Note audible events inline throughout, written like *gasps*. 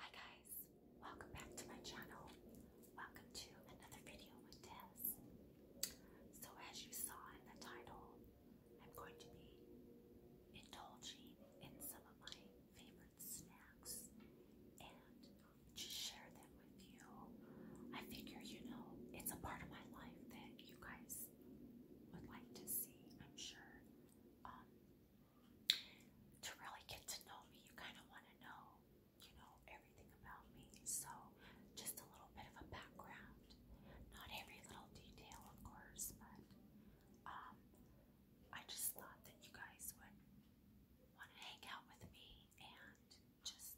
Hi guys, welcome back to my channel. Welcome to another video with Tess. So as you saw in the title, I'm going to be indulging in some of my favorite snacks and just share them with you. I figure, you know, it's a part of my life that you guys would like to see, I'm sure. Um, to really get to know me, you kind of want to know, you know, everything about me. So, just a little bit of a background. Not every little detail, of course, but um, I just thought that you guys would want to hang out with me and just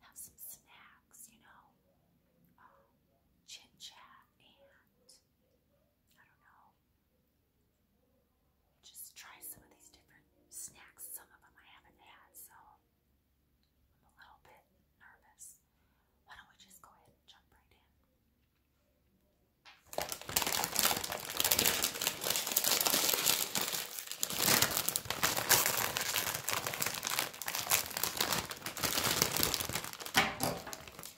have some snacks, you know, uh, chit chat and I don't know. Just try some of these different snacks. Some of them I haven't had, so I'm a little bit nervous. Why don't we just go ahead and jump right in?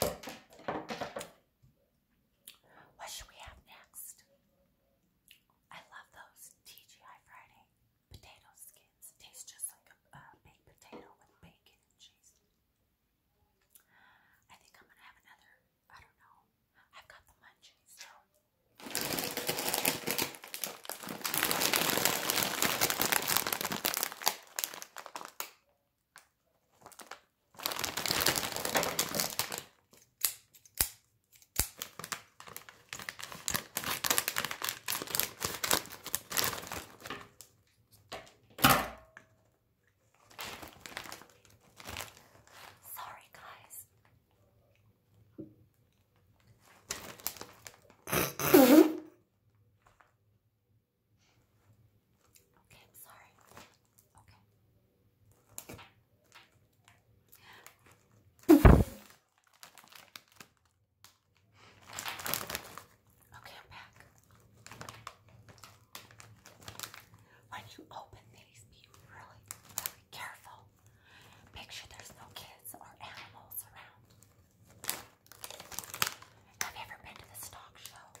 What should we have next? I love those TGI Friday potato skins. Tastes just like a baked potato with bacon and cheese. I think I'm gonna have another. I don't know. I've got the munchies, Sorry, guys. *laughs* Okay, I'm sorry. Okay. Okay, I'm back. When you open these, be really, really careful. Make sure there's no kids or animals around. Have you ever been to the stock show?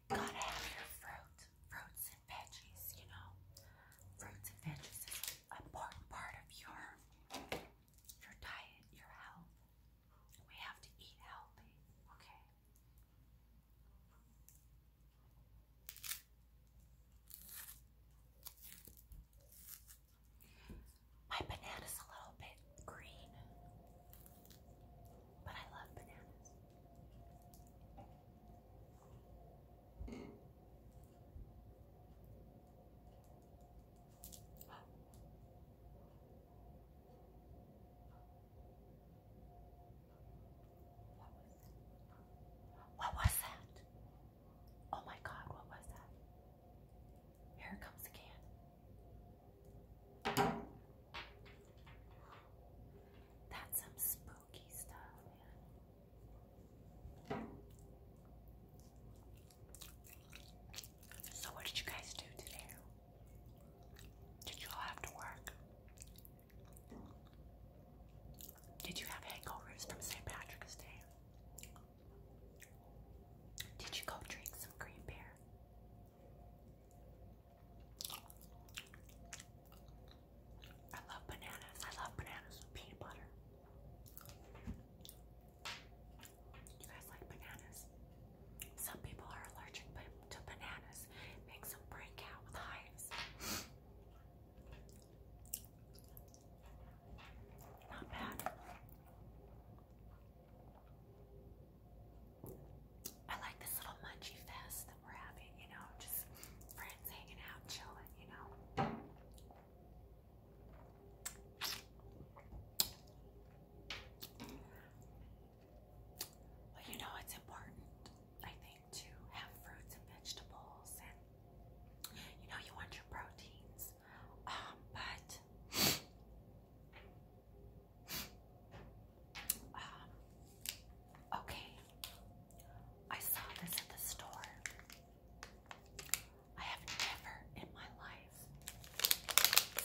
Gotta have your fruit, fruits and veggies, you know. Fruits and veggies is important part of your your diet, your health. We have to eat healthy, okay? My banana's a little bit green, but I love bananas. What was that? Oh my God, what was that? Here it comes again. That's some spooky so, what did you guys do today? Did you all have to work? Did you have hangovers from St. Patrick's Day? Did you go drink some green beer? I love bananas. I love bananas with peanut butter. You guys like bananas? Some people are allergic to bananas. and makes them break out with hives. Not bad. I like this little munchie fest that we're having, you know, just friends hanging out, chilling, you know. Well, you know, it's important, I think, to have fruits and vegetables, and you know, you want your proteins, um, but um, okay, I saw this at the store. I have never in my life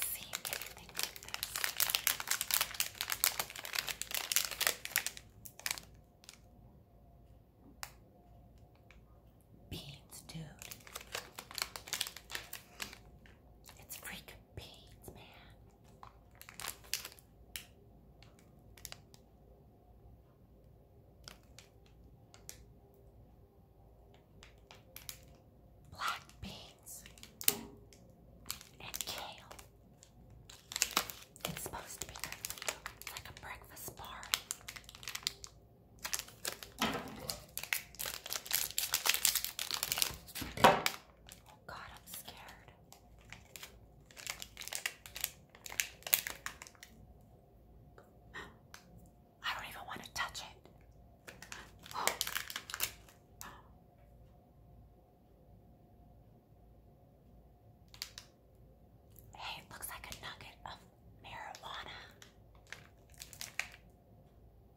seen anything like this. Beans, dude. It's freaking beans, man. Black beans and kale. It's supposed to be you. like a breakfast bar. God, I'm scared. *gasps* I don't even want to touch it. *gasps* Hey, looks like a nugget of marijuana.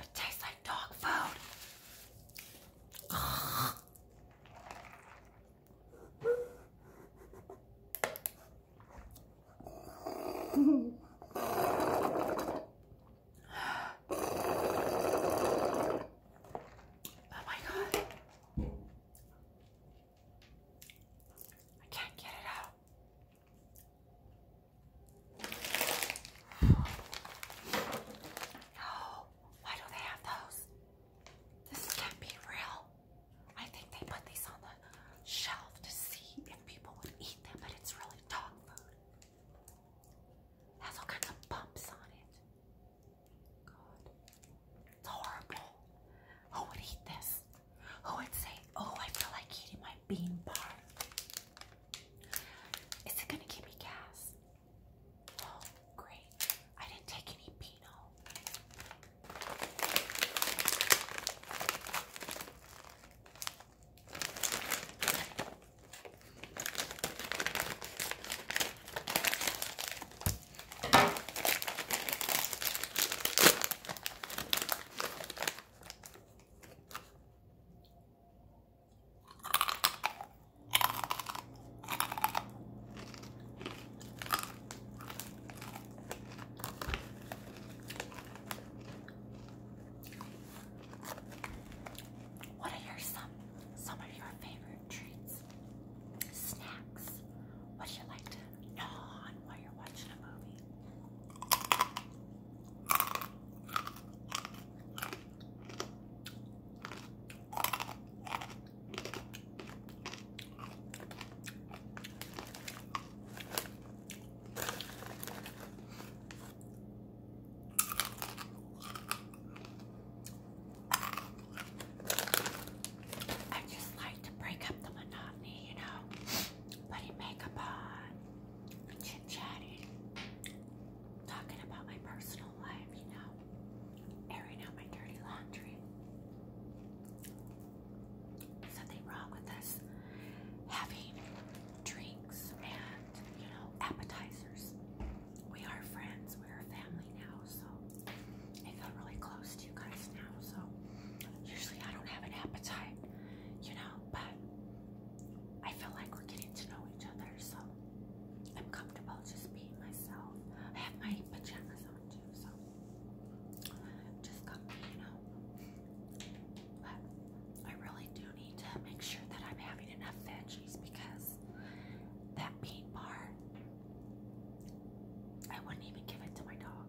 It tastes like dog food. Oh my god. I can't get it out. No, why do they have those? This can't be real. I think they put these on the shelf to see if people would eat them, but it's really dog food. has all kinds of bumps on it. God. It's horrible. Who would eat this? Who would say, oh, I feel like eating my bean bar? Is it gonna give me gas? Oh, great. I didn't take any Pinot. What are your some some of your favorite treats? Snacks. What do you like to gnaw on while you're watching a movie? I just like to break up the monotony, you know, putting makeup on chit chatting, talking about my personal life, you know, airing out my dirty laundry. Something wrong with us having drinks and, you know, appetizers. We are friends, we're family now, so I feel really close to you guys now, so usually I don't have an appetite, you know, but I feel like we're getting to know each other, so I'm comfortable just being myself. I have my pajamas on too, so just comfy, you know. But I really do need to make sure that I'm having enough veggies because that bean bar, I wouldn't even give it to my dog.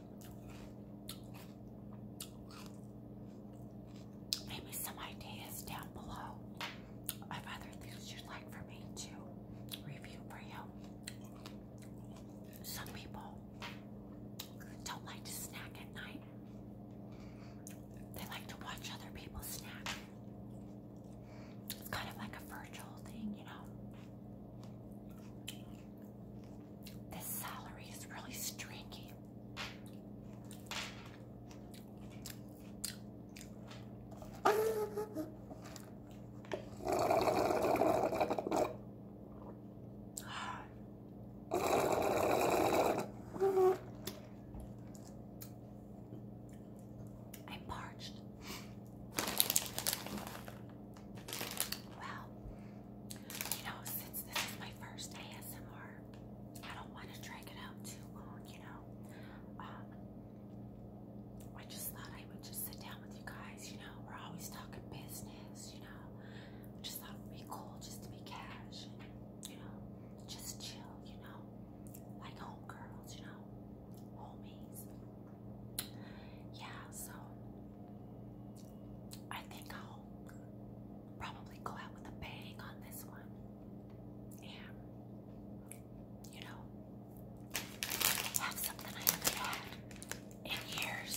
Maybe some ideas down below of other things you'd like for me to review for you. Some people don't like to snack at night. They like to watch other people snack. It's kind of like a virtual thing, you know. This salary is really streaky. *sighs* i parched. Well, you know, since this is my first ASMR, I don't want to drag it out too long, you know. Um, I just thought I would just sit down with you guys, you know. We're always talking business, you know. I just thought it would be cool just to be cash and, you know, just chill, you know. Like homegirls, you know homies. Yeah, so I think I'll probably go out with a bang on this one. And, you know, have something I haven't had in years.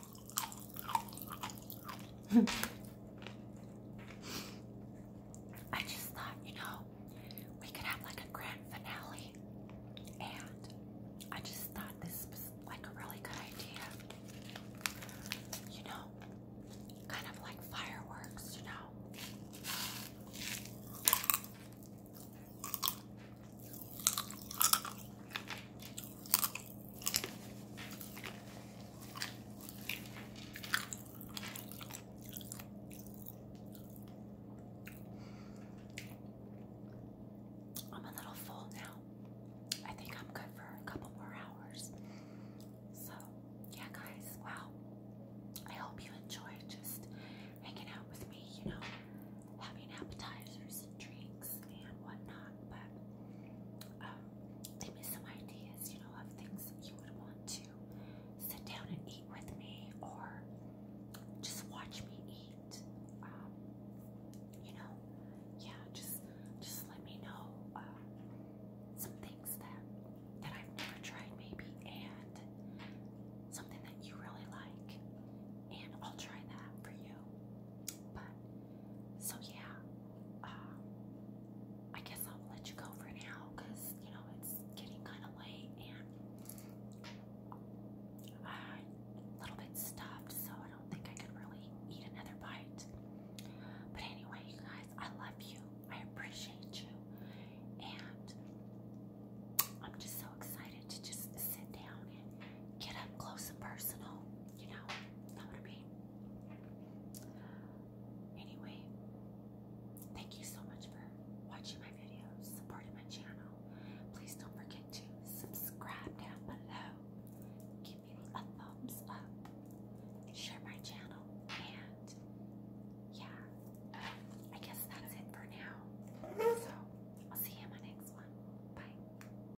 I just thought, you know, we could have like a grand finale. And I just thought this was like a really good idea. You know, kind of like fireworks, you know. I'm a little full now. I think I'm good for a couple more hours. So, yeah, guys, wow. I hope you enjoy just hanging out with me, you know, having appetizers drinks and whatnot. But give me some ideas, you know, of things you would want to sit down and eat with me or just watch me eat. Um, you know, yeah, just just let me know uh, some things that that I've never tried maybe and something that you really like and I'll try that for you. But so yeah, I guess I'll let you go for now you know it's getting kind of late and a little bit stuffed, so I don't think I could really eat another bite. But anyway, you guys, I love you. I appreciate you, and I'm just so excited to just sit down and get up close and personal you know, that would be. Anyway, thank you so much for watching my videos, supporting my channel. Please don't forget to subscribe down below, give me a thumbs up, share my channel, and yeah, I guess that's it for now. So I'll see you in my next one. Bye.